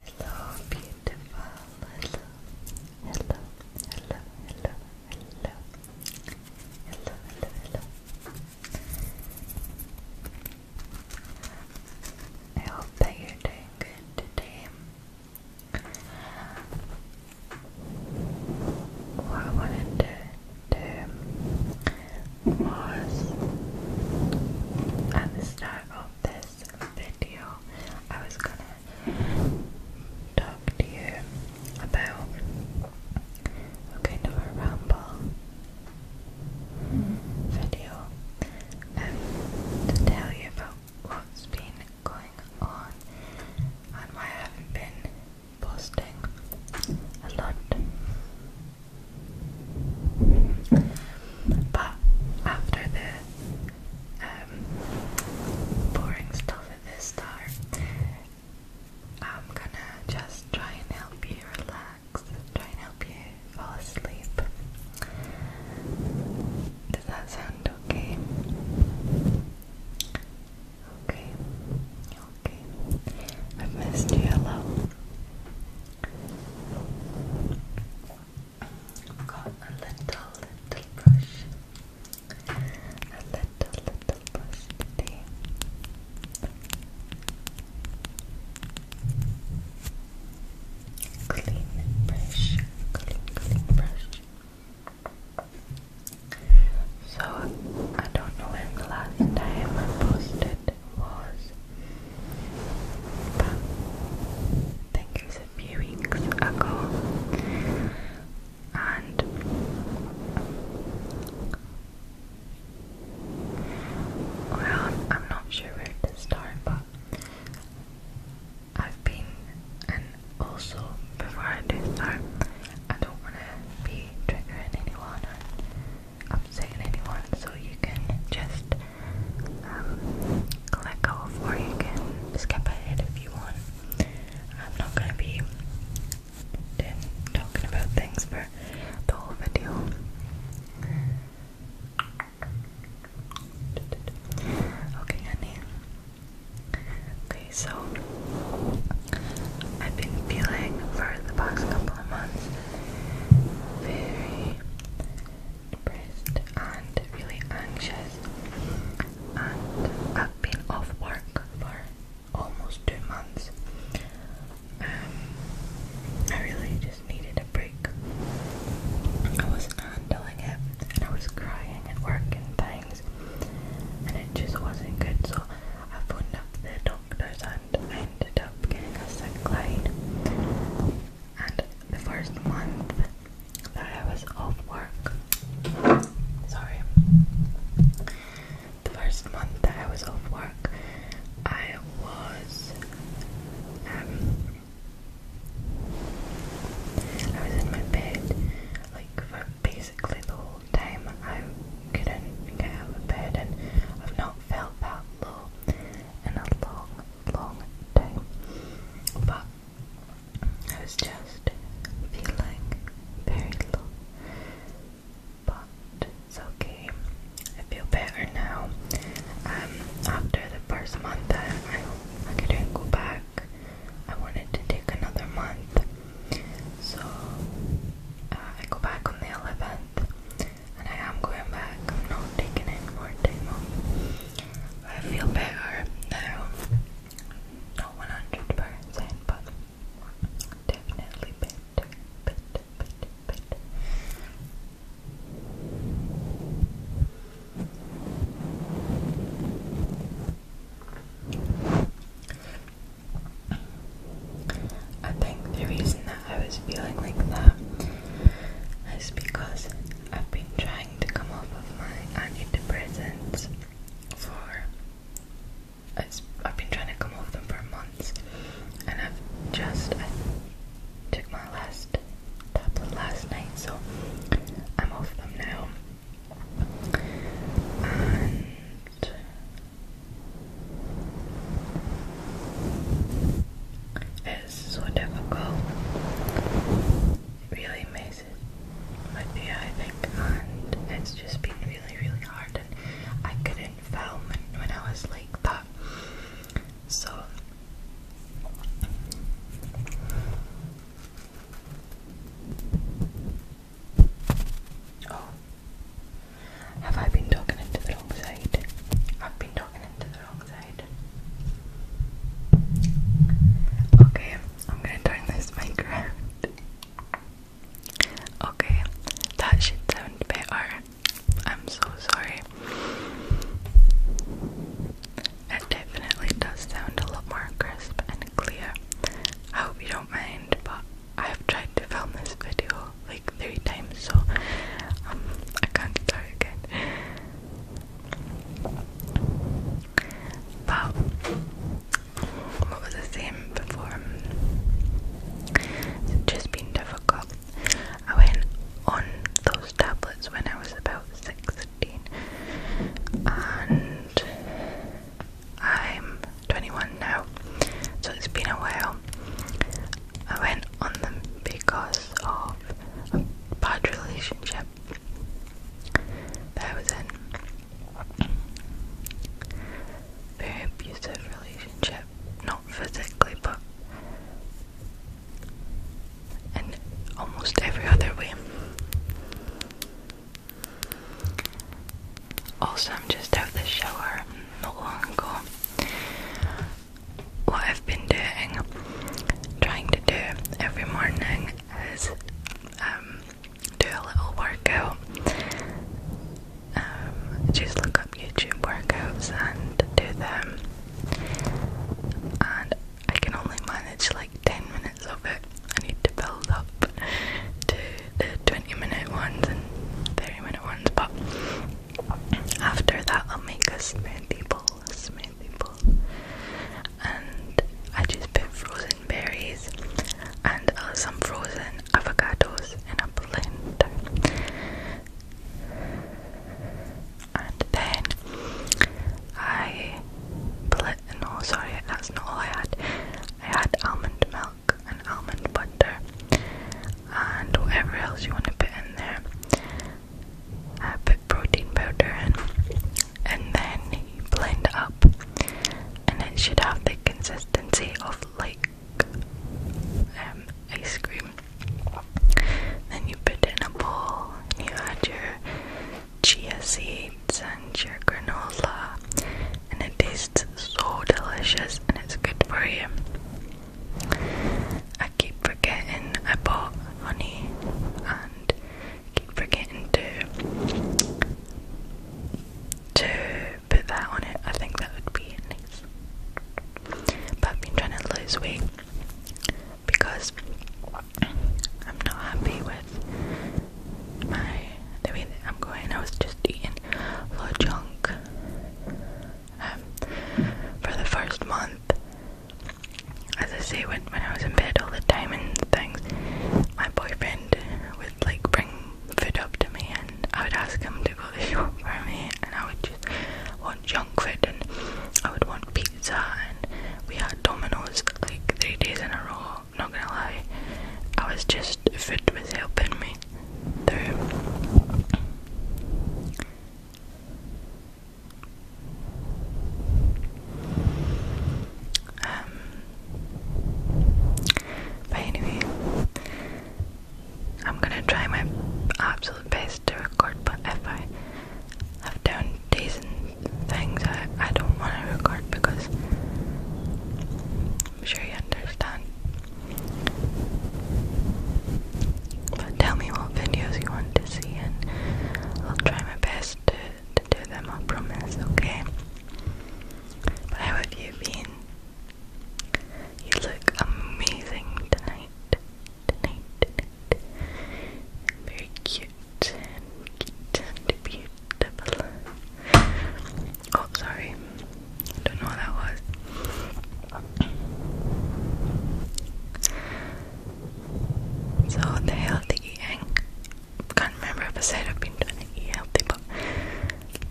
Hello, beautiful. Hello, hello, hello, hello, hello, hello, hello, hello. I hope that you're doing good today. What I wanted to do was at the start of this video, I was gonna talk to you about a kind of a ramble video um, to tell you about what's been going on and I haven't been posting a lot. But after the um, boring stuff at this start, I'm gonna just try and help you relax, try and help you fall asleep. Does that sound okay? Okay, okay. i missed you a lot. I've got a little, little brush. A little, little brush Clean brush. Clean, clean brush. So, I don't know when the last time I posted was. But I think it was a few weeks ago, and well, I'm not sure where to start, but I've been, and also before I do start, I don't want to be triggering anyone or upsetting anyone, so you can just um, let go of, or you skip ahead if you want. I'm not going to be talking about things for the whole video. Okay, honey. Okay, so I've been feeling for the past couple of months depressed and really anxious and I've been off work for almost two months. Um, I really just needed a break. I wasn't handling it and I was crying at work and things and it just wasn't good so I phoned up the doctors and I ended up getting a sick line and the first month that I was off work, sorry, the first month that I was off work, I was, um, I was in my bed, like, for basically the whole time, I couldn't get out of bed, and I've not felt that low in a long long time, but I was just feeling very low. But it's okay. I feel better now. Um, after the first month, I, I couldn't go back. I wanted to take another month, so uh, I go back on the 11th and I am going back. I'm not taking any more time I feel better now. Not 100%, but definitely better. better, better, better. I think the reason I was feeling like that is because I've been trying to come off of my antidepressants for I've been trying to come off them for months and I've just took my last tablet last night so I'm off of them now and this is so difficult really makes it. But I think and it's just been really, really hard, and I couldn't film when, I was like that. So. Oh. Have I been talking into the wrong side? I've been talking into the Okay, I'm gonna turn this mic around. Okay, that should sound better. I'm so sorry. It definitely does sound a lot more crisp and clear. I hope you don't mind, but I've tried to film this video like three times, so um, I can't start again. But what was I saying before? Um, just been difficult. I went on those tablets when I was about 16 and I'm 21 now, so it's been a while. I went on them because of a bad relationship that was in. Very abusive relationship, not physically, but and almost every other way. Also, I'm just out of the shower not long ago what I've been doing, trying to do every morning is um, do a little workout. Um, just look up YouTube workouts and do them. And I can only manage like 10 minutes of it. I need to build up to the 20 minute ones and 30 minute ones, but after that, I'll make a smoothie bowl, a smoothie bowl, and I just put frozen berries and uh, some frozen avocados in a blender, and then I blend. No, sorry, that's not all I had. I had almond milk and almond butter and whatever else you want to put in there uh, put protein powder in, and then blend up, and it should have the consistency of like um, ice cream. Then you put in a bowl, and you add your chia seeds and your granola, and it tastes so delicious, and it's good for you. I keep forgetting I bought honey and keep forgetting to to put that on it. I think that would be nice. But I've been trying to lose weight because I'm not happy with my the way I'm going. I was just eating a lot of junk um, for the first month. As I say, when, when I was in bed all the time and things, my boyfriend would like bring food up to me and I would ask him to go to the shop for me and I would just want junk food and I would want pizza and we had Domino's like three days in a row, not gonna lie. I was just, food was helping me through. Um, but anyway, I'm gonna try my absolute best to record, but if I have down days and things, I, I don't want to record because I'm sure you understand. But tell me what videos you want to see, and I'll try my best to, to do them, I promise, okay? how have you been? You look amazing tonight. Tonight, tonight. Very cute and beautiful. Oh, sorry. don't know what that was. So the healthy thing—I can't remember if I said I've been trying to eat healthy, but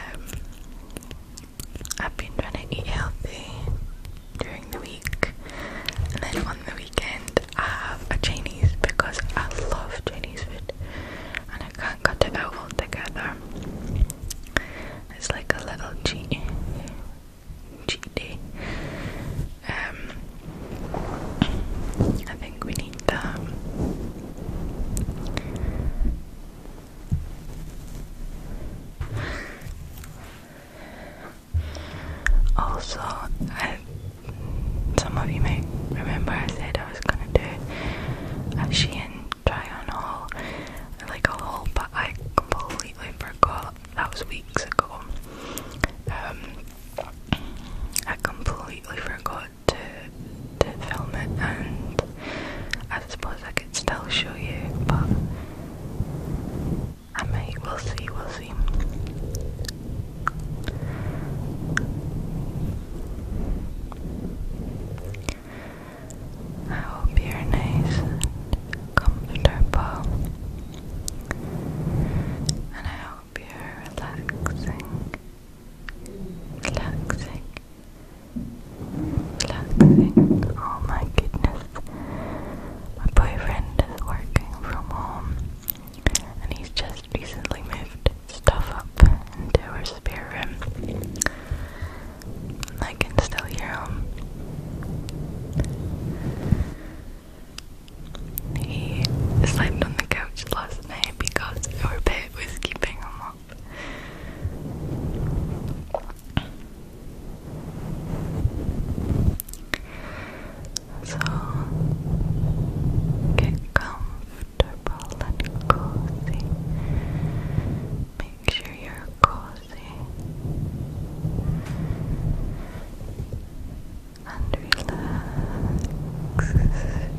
um, I've been trying to eat healthy during the week, and then on the weekend I have a Chinese because I love Chinese food, and I can't cut it out together. It's like a little cheat Chile. Um, think we need the also, I, some of you may remember I said I was gonna do a Shein try haul, like a haul, but I completely completely forgot that was weeks ago. Um, I completely forgot to, to film it, and I suppose I could still show you, but I might. We'll see. We'll see. I hope you're nice and comfortable. And I hope you're relaxing. Relaxing. Relaxing. Oh my goodness. My boyfriend is working from home and he's just recently moved stuff up into our spare room. I can still hear him. He slept on the couch last night because our pet was keeping him up. So get comfortable and cozy. Make sure you're cozy cozy and relax.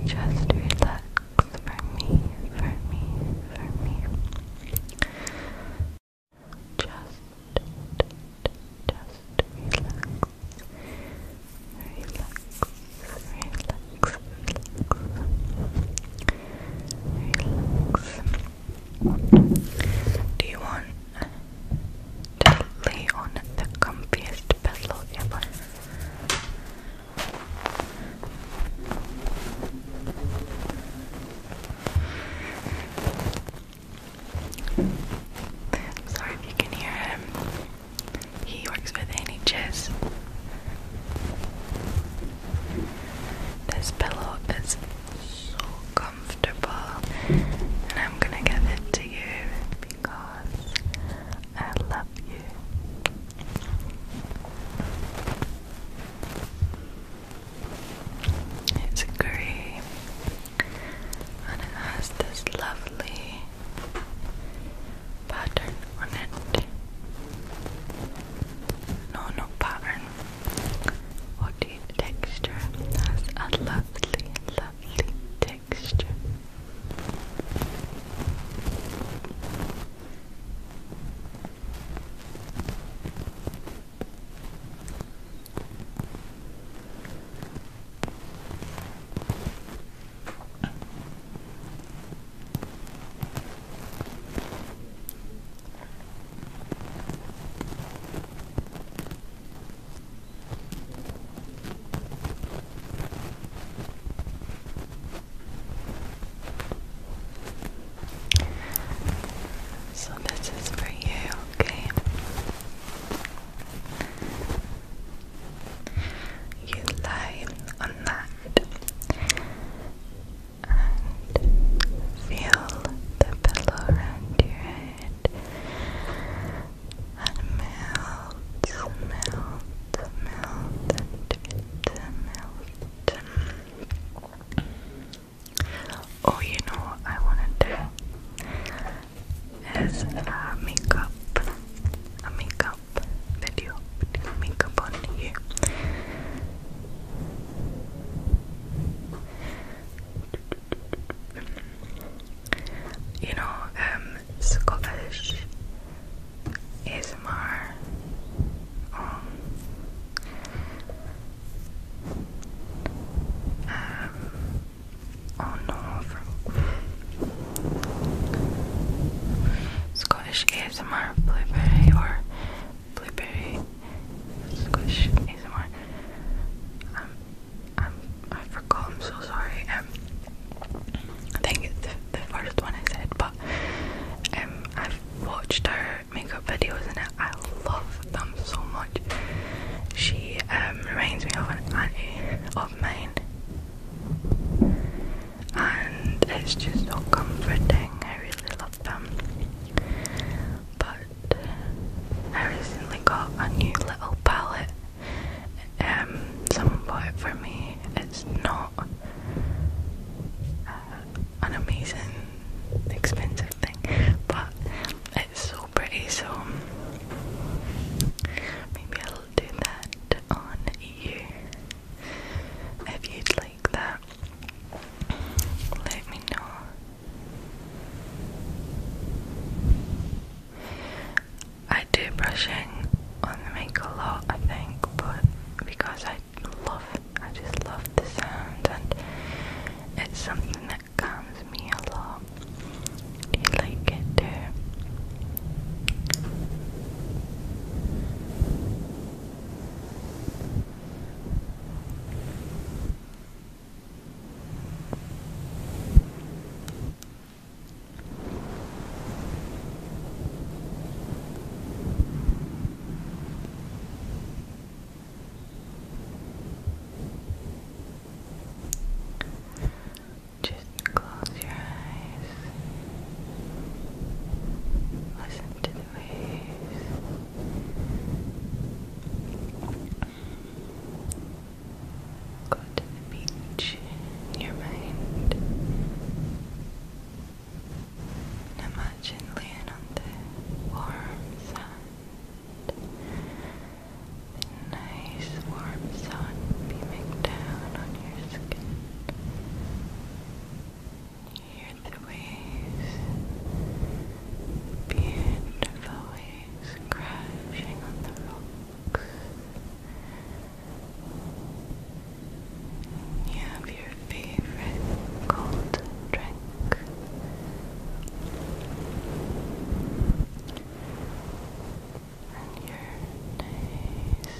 Just relax for me, for me, for me. Just, just Relax, relax, relax. Relax. Do you want to lay on the comfiest pillow ever? sorry if you can hear him. He works with NHS. This pillow is so comfortable, and I'm gonna give it to you because I love you. It's grey and it has this lovely pattern on it. No, no pattern. Woody texture has a lovely, lovely texture. So, this is for you, okay? You lie on that and feel the pillow around your head and melt, melt, melt, and melt. Oh, you know I want to do a makeup, a makeup video makeup on you. You know, um, Scottish is Um, um, oh no, from Scottish ASMR blueberry or blueberry squish ASMR. Um, I'm, um, I forgot, I'm so sorry. Um, I think it's the, first one I said, but um, I've watched her makeup videos and I love them so much. She um, reminds me of an auntie of mine, and it's just so comforting. I really love of But I recently got a new little palette. Um, someone bought it for me. It's not uh, an amazing, expensive thing, but it's so pretty. So maybe I'll do that on you if you'd like let me know. I do brushing on the mic a lot, I think, but because I love, I just love the sound, and it's something that calms me a lot. Do you like it too? Just close your eyes. Listen to waves. Go to the beach your mind. imagine laying on the warm sand. nice warm sun beaming down on your skin. Hear the waves, beautiful waves crashing on the rocks. You have your favorite cold drink. And you're nice and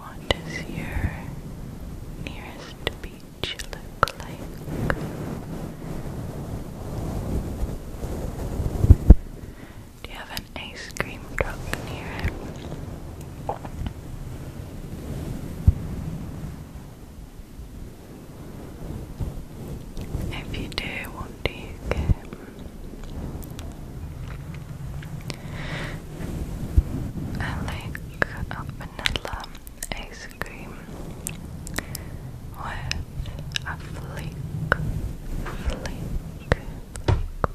What does your nearest beach look like? Do you have an ice cream truck near it? If you do, what do you get? I like a vanilla ice cream with a flake, flake,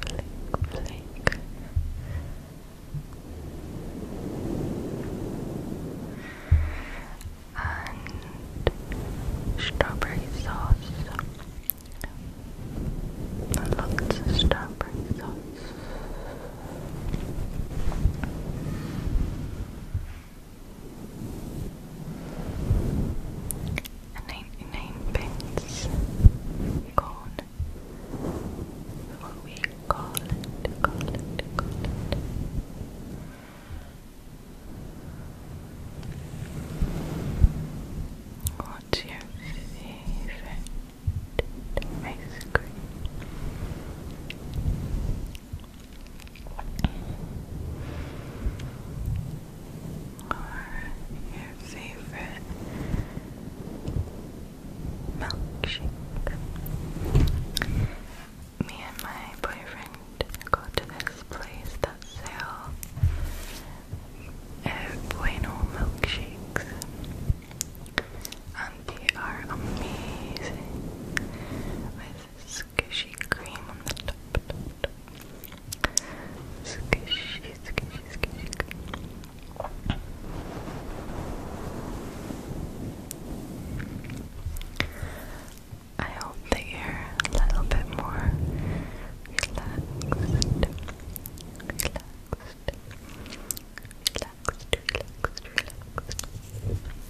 flake, flake, flake. And strawberry sauce. Lots of strawberry sauce and 99 pence gone what we call it, call what's your favorite ice cream? Or your favorite milkshake. Me and my boyfriend go to this place that sell bueno milkshakes, and they are amazing squishy cream on the top. top, top. Squishy, squishy, squishy cream. I hope that you're a little bit more relaxed. Relaxed. Relaxed, relaxed, relaxed.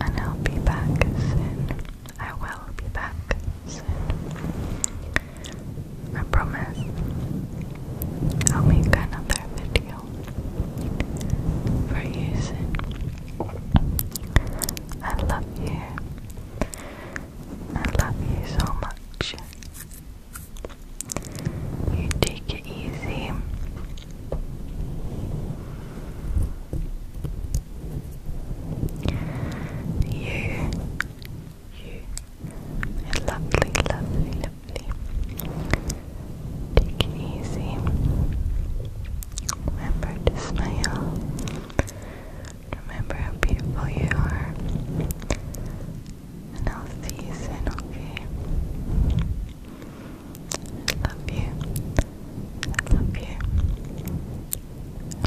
and I'll be back soon. I will be back soon. I promise I'll make another video for you soon. I love you. I love you so much. You take it easy. You, you, lovely, lovely, lovely. Take it easy. Remember to smile. Remember how beautiful you are. And I'll see you soon, okay? I love you. I love you. I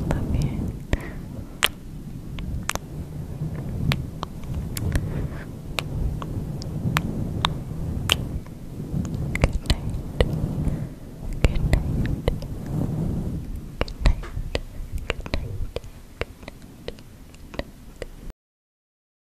love you. Good night. Good night. Good night. Good night. Good night.